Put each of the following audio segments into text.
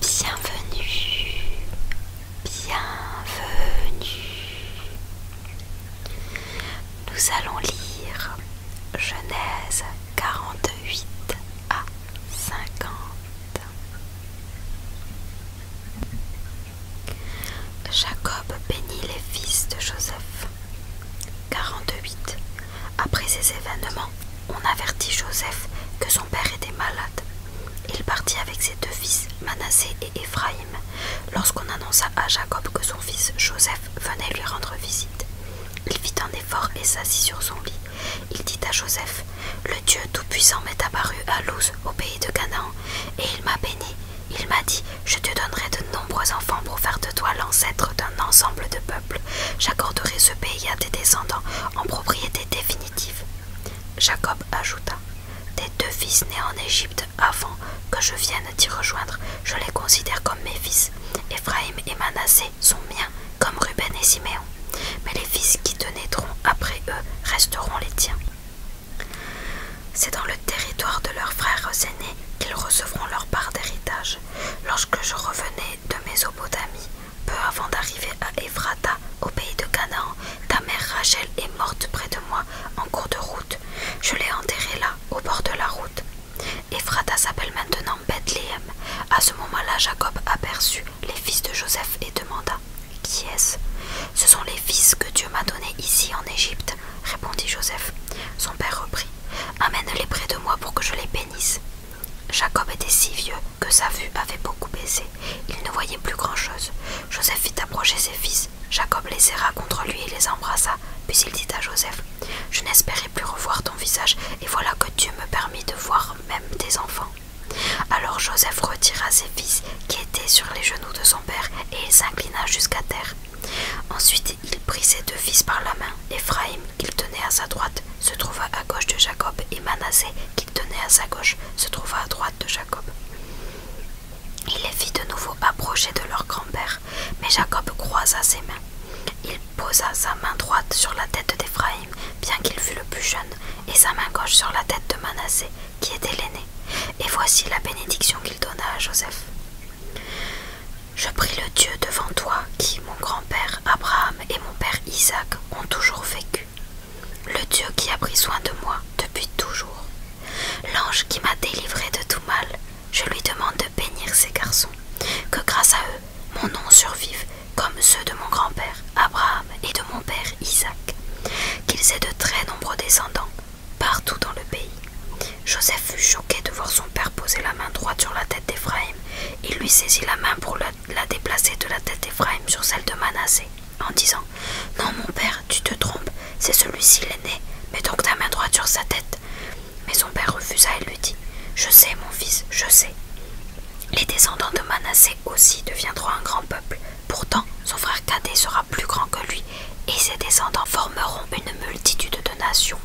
Bienvenue, bienvenue. Nous allons lire Genèse 42 8 à 50. Jacob bénit les fils de Joseph. 48. Après ces événements, on avertit Joseph que son père était malade. Il partit avec ses deux fils, Manassé et Éphraïm, lorsqu'on annonça à Jacob que son fils Joseph venait lui rendre visite. Il fit un effort et s'assit sur son lit. Il dit à Joseph Le Dieu Tout-Puissant m'est apparu à Luz, au pays de Canaan, et il m'a béni. Il m'a dit Je te donnerai de nombreux enfants pour faire de toi l'ancêtre d'un ensemble de peuples. J'accorderai ce pays à tes descendants en propriété définitive. Jacob ajouta Tes deux fils nés en Égypte avant que je vienne t'y rejoindre, je les considère comme mes fils. Éphraïm et Manassé sont miens, comme Ruben et Siméon, mais les fils qui te naîtront après eux resteront les tiens. C'est dans le territoire de leurs frères aînés qu'ils recevront leur part d'héritage. Lorsque je revenais de Mésopotamie, peu avant d'arriver à Ephrata, au pays de Canaan, ta mère Rachel est morte près de moi en cours de route. Je l'ai enterrée là, au bord de la route. Ephrata s'appelle maintenant Bethléem à ce moment-là, Jacob aperçut les fils de Joseph et demanda Qui est-ce Ce sont les fils que Dieu m'a donnés ici en Égypte, répondit Joseph. Son père reprit Amène-les près de moi pour que je les bénisse. Jacob était si vieux que sa vue avait beaucoup baissé. Il ne voyait plus grand-chose. Joseph fit approcher ses fils. Jacob les serra contre lui et les embrassa. Puis il dit à Joseph Je n'espérais plus revoir ton visage, et voilà que Dieu me permit de voir même des enfants. Alors Joseph retira ses fils qui étaient sur les genoux de son père et il s'inclina jusqu'à terre. Ensuite il prit ses deux fils par la main. Éphraïm, qu'il tenait à sa droite, se trouva à gauche de Jacob et Manassé, qu'il tenait à sa gauche, se trouva à droite de Jacob. Il les fit de nouveau approcher de leur grand-père, mais Jacob croisa ses mains. Il posa sa main droite sur la tête d'Éphraïm bien qu'il fût le plus jeune, et sa main gauche sur la tête de Manassé, qui était l'aîné. Et voici la bénédiction qu'il donna à Joseph. Je prie le Dieu devant toi, qui, mon grand-père Abraham et mon père Isaac, ont toujours vécu. Le Dieu qui a pris soin de moi depuis toujours. L'ange qui m'a délivré de tout mal, je lui demande de bénir ces garçons, que grâce à eux, mon nom survive comme ceux de mon grand-père Abraham et de mon père Isaac, qu'ils aient de très nombreux descendants partout dans le pays. Joseph fut choqué de voir son père poser la main droite sur la tête d'Éphraïm. Il lui saisit la main pour la, déplacer de la tête d'Éphraïm sur celle de Manassé, en disant Non, mon père, tu te trompes, c'est celui-ci l'aîné, mets donc ta main droite sur sa tête. Mais son père refusa et lui dit Je sais, mon fils, je sais. Les descendants de Manassé aussi deviendront un grand peuple. Pourtant, son frère cadet sera plus grand que lui et ses descendants formeront une multitude de nations.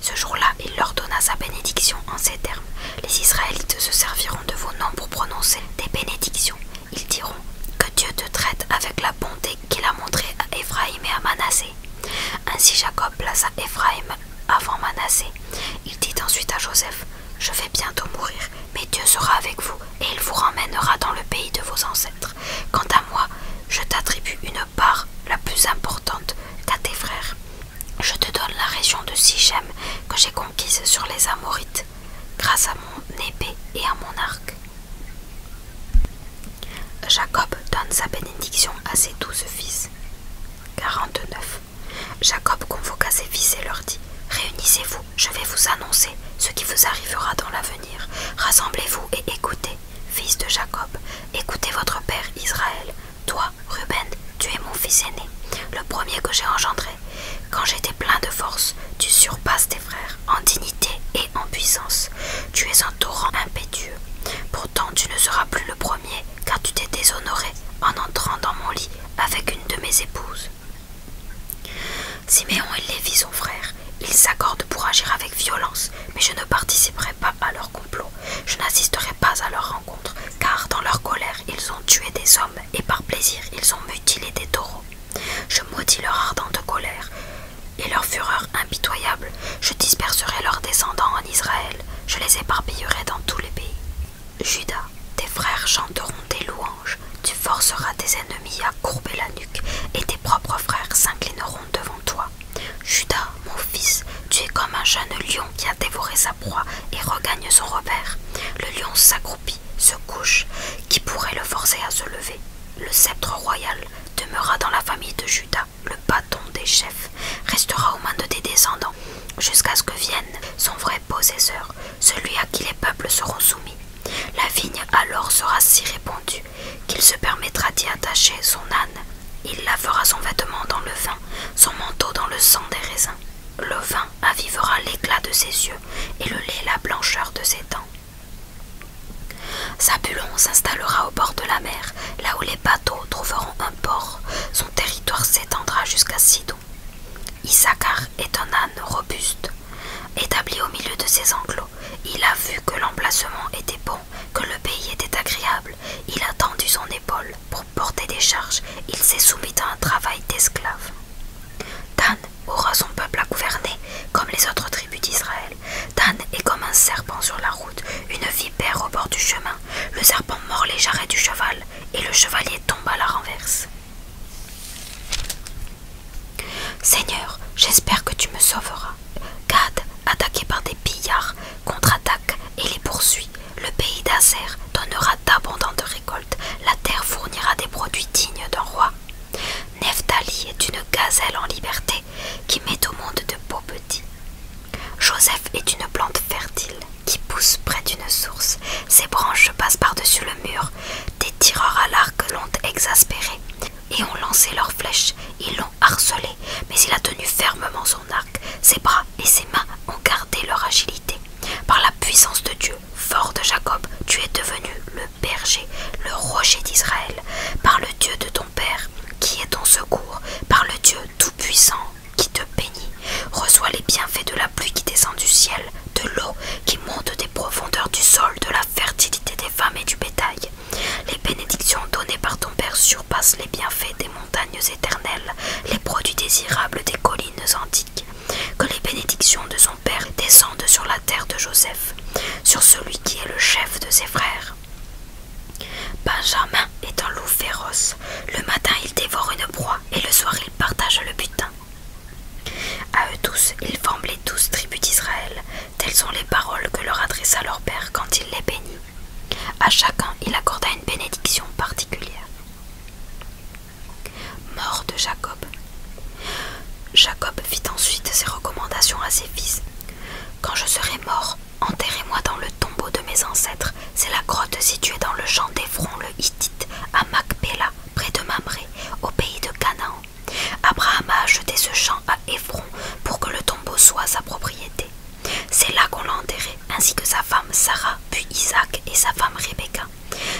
Ce jour-là, il leur donna sa bénédiction en ces termes. Les Israélites se serviront de vos noms pour prononcer des bénédictions. Ils diront que Dieu te traite avec la bonté qu'il a montrée à Éphraïm et à Manassé. Ainsi Jacob plaça Éphraïm avant Manassé. Il dit ensuite à Joseph Je vais bientôt mourir, mais Dieu sera avec vous et il vous ramènera dans le pays de vos ancêtres. Quant à moi, je t'attribue une part la plus importante qu'à tes frères. Je te donne la région de Sichem que j'ai conquise sur les Amorites, grâce à mon épée et à mon arc. Jacob donne sa bénédiction à ses douze fils. 49. Jacob convoqua ses fils et leur dit Réunissez-vous, je vais vous annoncer ce qui vous arrivera dans l'avenir. Rassemblez-vous et écoutez, fils de Jacob, écoutez votre père Israël. Toi, Ruben, tu es mon fils aîné, le premier que j'ai engendré. Quand j'étais plein de force, tu surpasses tes frères en dignité et en puissance. Tu es un torrent impétueux. Pourtant, tu ne seras plus le premier, car tu t'es déshonoré en entrant dans mon lit avec une de mes épouses. Siméon et Lévi sont frères. Ils s'accordent pour agir avec violence, mais je ne participerai pas à leur complot. Je n'assisterai pas à leur rencontre, car dans leur colère, ils ont tué des hommes et par plaisir, ils ont mutilé des taureaux. Je maudis leur ardente colère et leur fureur impitoyable. Je disperserai leurs descendants en Israël. Je les éparpillerai dans tous les pays. Judas, tes frères chanteront tes louanges, tu forceras tes ennemis à courber la nuque, et tes propres frères s'inclineront devant toi. Judas, mon fils, tu es comme un jeune lion qui a dévoré sa proie et regagne son repère. Le lion s'accroupit, se couche, qui pourrait le forcer à se lever. Le sceptre royal demeura dans la famille de Judas, le bâton des chefs restera aux mains de tes descendants jusqu'à ce que vienne son vrai possesseur, celui à qui les peuples seront soumis. La vigne alors sera si répandue qu'il se permettra d'y attacher son âne. Il lavera son vêtement dans le vin, son manteau dans le sang des raisins. Le vin avivera l'éclat de ses yeux et le lait la blancheur de ses dents. Sabulon s'installera au bord de la mer, là où les les bateaux trouveront un port, son territoire s'étendra jusqu'à Sidon. Issachar est un âne robuste. Établi au milieu de ses enclos, il a vu que l'emplacement était bon, que le pays était agréable. Il a tendu son épaule pour porter des charges. Il s'est soumis à un travail d'esclave. Dan aura son peuple à gouverner, comme les autres tribus d'Israël. Dan est comme un serpent sur la route, une vipère au bord du chemin. Le serpent mord les jarrets du cheval, et le chevalier tombe à la renverse. Seigneur, j'espère que tu me sauveras. Gad, attaqué par des pillards, contre-attaque et les poursuit. Le pays d'Azer donnera d'abondantes récoltes. La terre fournira des produits dignes d'un roi. Neftali est une gazelle en liberté qui met au monde de beaux petits. Joseph est une plante fertile qui pousse près d'une source. Ses branches passent par-dessus le mur. Des tireurs à l'arc l'ont exaspéré et ont lancé leurs flèches. Ils l'ont harcelé, mais il a tenu fermement son arc. Ses bras et ses mains ont gardé leur agilité. Par la puissance de Dieu, fort de Jacob, tu es devenu le berger, le rocher d'Israël, par le Dieu de ton Père, qui est ton secours, par le Dieu tout-puissant qui te bénit, reçois les bienfaits de la pluie qui descend du ciel, de l'eau qui monte des profondeurs du sol, de la fertilité des femmes et du bétail. Les bénédictions données par ton Père surpassent les bienfaits des montagnes éternelles, les produits désirables des collines antiques. Que les bénédictions de son Père descendent sur la terre de Joseph, sur celui qui est le chef de ses frères. Benjamin est un loup féroce. Le matin, il dévore une proie et le soir, il partage le butin. À eux tous, ils forment les douze tribus d'Israël. Telles sont les paroles que leur adressa leur père quand il les bénit. À chacun, il accorda une bénédiction particulière. Mort de Jacob. Jacob fit ensuite ses recommandations à ses fils. Quand je serai mort, enterrez-moi dans le tombeau de mes ancêtres, c'est la grotte située dans le champ d'Ephron le Hittite, à Macpéla, près de Mamré, au pays de Canaan. Abraham a acheté ce champ à Ephron pour que le tombeau soit sa propriété. C'est là qu'on l'a enterré, ainsi que sa femme Sarah, puis Isaac et sa femme Rebecca.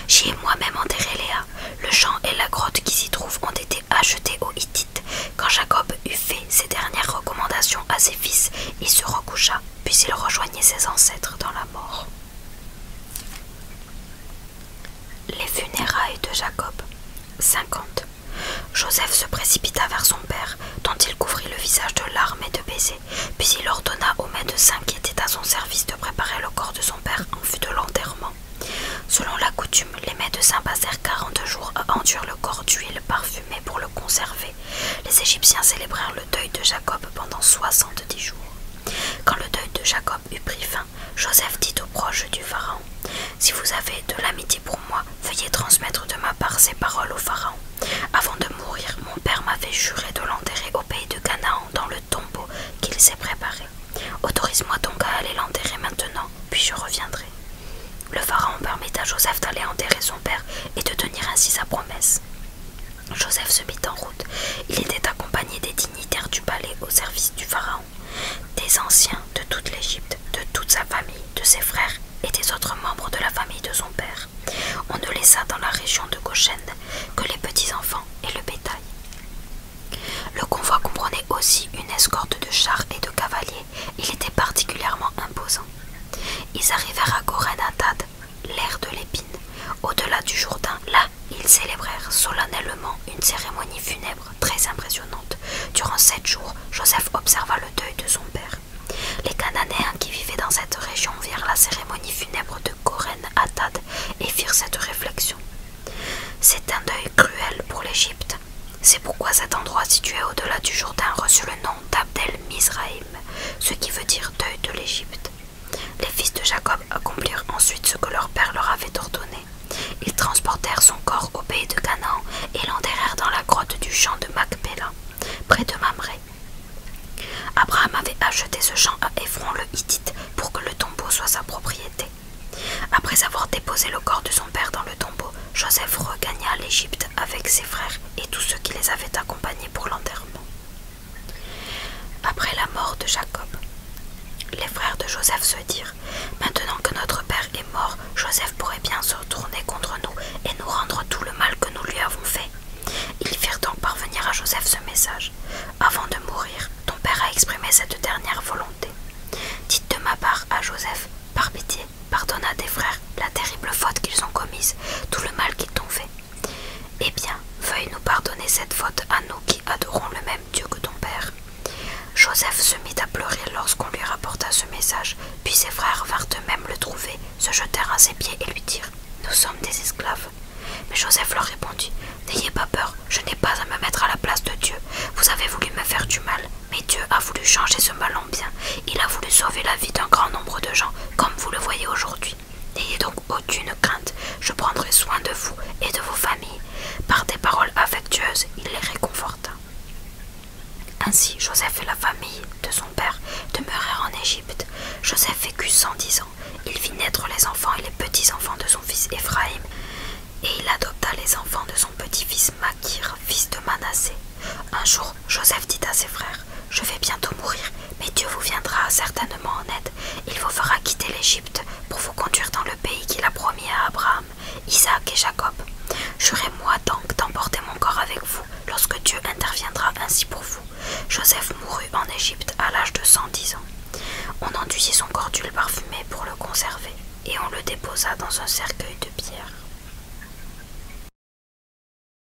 J'y ai moi-même enterré Léa. Le champ et la grotte qui s'y trouvent ont été achetés aux Hittites. Quand Jacob eut fait ses dernières recommandations à ses fils, il se recoucha puis il rejoignait ses ancêtres dans la mort. Les funérailles de Jacob. 50. Joseph se précipita vers son père, dont il couvrit le visage de larmes et de baisers, puis il ordonna au médecins qui étaient à son service de préparer le corps de son père en vue de l'enterrement. Selon la coutume, les médecins passèrent quarante jours à enduire le corps d'huile parfumée pour le conserver. Les Égyptiens célébrèrent le deuil de Jacob pendant soixante-dix jours. Quand le deuil de Jacob eut pris fin, Joseph dit aux proches du Pharaon Si vous avez de l'amitié pour moi, veuillez transmettre de ma part ces paroles au Pharaon. Avant de mourir, mon père m'avait juré de l'enterrer au pays de Canaan dans le tombeau qu'il s'est préparé. Autorise-moi donc à aller l'enterrer maintenant, puis je reviendrai. Le Pharaon permit à Joseph d'aller enterrer son père et de tenir ainsi sa promesse. Joseph se mit en route. Il était accompagné des dignitaires du palais au service du pharaon, des anciens de toute l'Égypte, de toute sa famille, de ses frères et des autres membres de la famille de son père. On ne laissa dans la région de Goshen que les petits-enfants et le bétail. Le convoi comprenait aussi une escorte de chars et de cavaliers. Il était particulièrement imposant. Ils arrivèrent à Tade l'air de l'épine, au-delà du Jourdain. Là, ils célébrèrent solennellement une cérémonie funèbre très impressionnante. Durant sept jours, Joseph observa le deuil de son père. Les Cananéens qui vivaient dans cette région virent la cérémonie funèbre de Koren Atad et firent cette réflexion. C'est un deuil cruel pour l'Égypte. C'est pourquoi cet endroit situé au-delà du Jourdain reçut le nom d'Abdel ce qui veut dire deuil de l'Égypte. Les fils de Jacob accomplirent ensuite ce que leur père leur avait ordonné. Ils transportèrent son corps au pays de Canaan et l'enterrèrent dans la grotte du champ de Macpéla, près de Mamré. Abraham avait acheté ce champ à Ephron le Hittite pour que le tombeau soit sa propriété. Après avoir déposé le corps de son père dans le tombeau, Joseph regagna l'Égypte avec ses frères et tous ceux qui les avaient accompagnés pour l'enterrement. Après la mort de Jacob, les frères de Joseph se dirent Maintenant que notre père est mort, Joseph pourrait bien se retourner contre nous et nous rendre tout le mal que nous lui avons fait. Ils firent donc parvenir à Joseph ce message Avant de mourir, ton père a exprimé cette dernière volonté. Dites de ma part à Joseph Par pitié, pardonne à tes frères la terrible faute qu'ils ont commise, tout le mal qu'ils t'ont fait. Eh bien, veuille nous pardonner cette faute à nous qui adorons le même Dieu que ton Père. Joseph se mit à pleurer lorsqu'on lui rapporta ce message, puis ses frères vinrent eux-mêmes le trouver, se jetèrent à ses pieds et lui dirent Nous sommes des esclaves. Mais Joseph leur répondit N'ayez pas peur, je n'ai pas à me mettre à la place de Dieu. Vous avez voulu me faire du mal, mais Dieu a voulu changer ce mal en bien. Il a voulu sauver la vie d'un grand nombre de gens, comme vous le voyez aujourd'hui. N'ayez donc aucune crainte, je prendrai soin de vous et de vos familles. Par des paroles affectueuses, il les réconforta. Ainsi, Joseph et la famille de son père demeurèrent en Égypte. Joseph vécut dix ans. Il vit naître les enfants et les petits-enfants de son fils Éphraïm, et il adopta les enfants de son petit-fils Makir, fils de Manassé. Un jour, Joseph dit à ses frères je vais bientôt mourir, mais Dieu vous viendra certainement en aide. Il vous fera quitter l'Égypte pour vous conduire dans le pays qu'il a promis à Abraham, Isaac et Jacob. Jurez-moi donc d'emporter mon corps avec vous lorsque Dieu interviendra ainsi pour vous. Joseph mourut en Égypte à l'âge de 110 ans. On enduisit son corps d'huile parfumée pour le conserver et on le déposa dans un cercueil de pierre.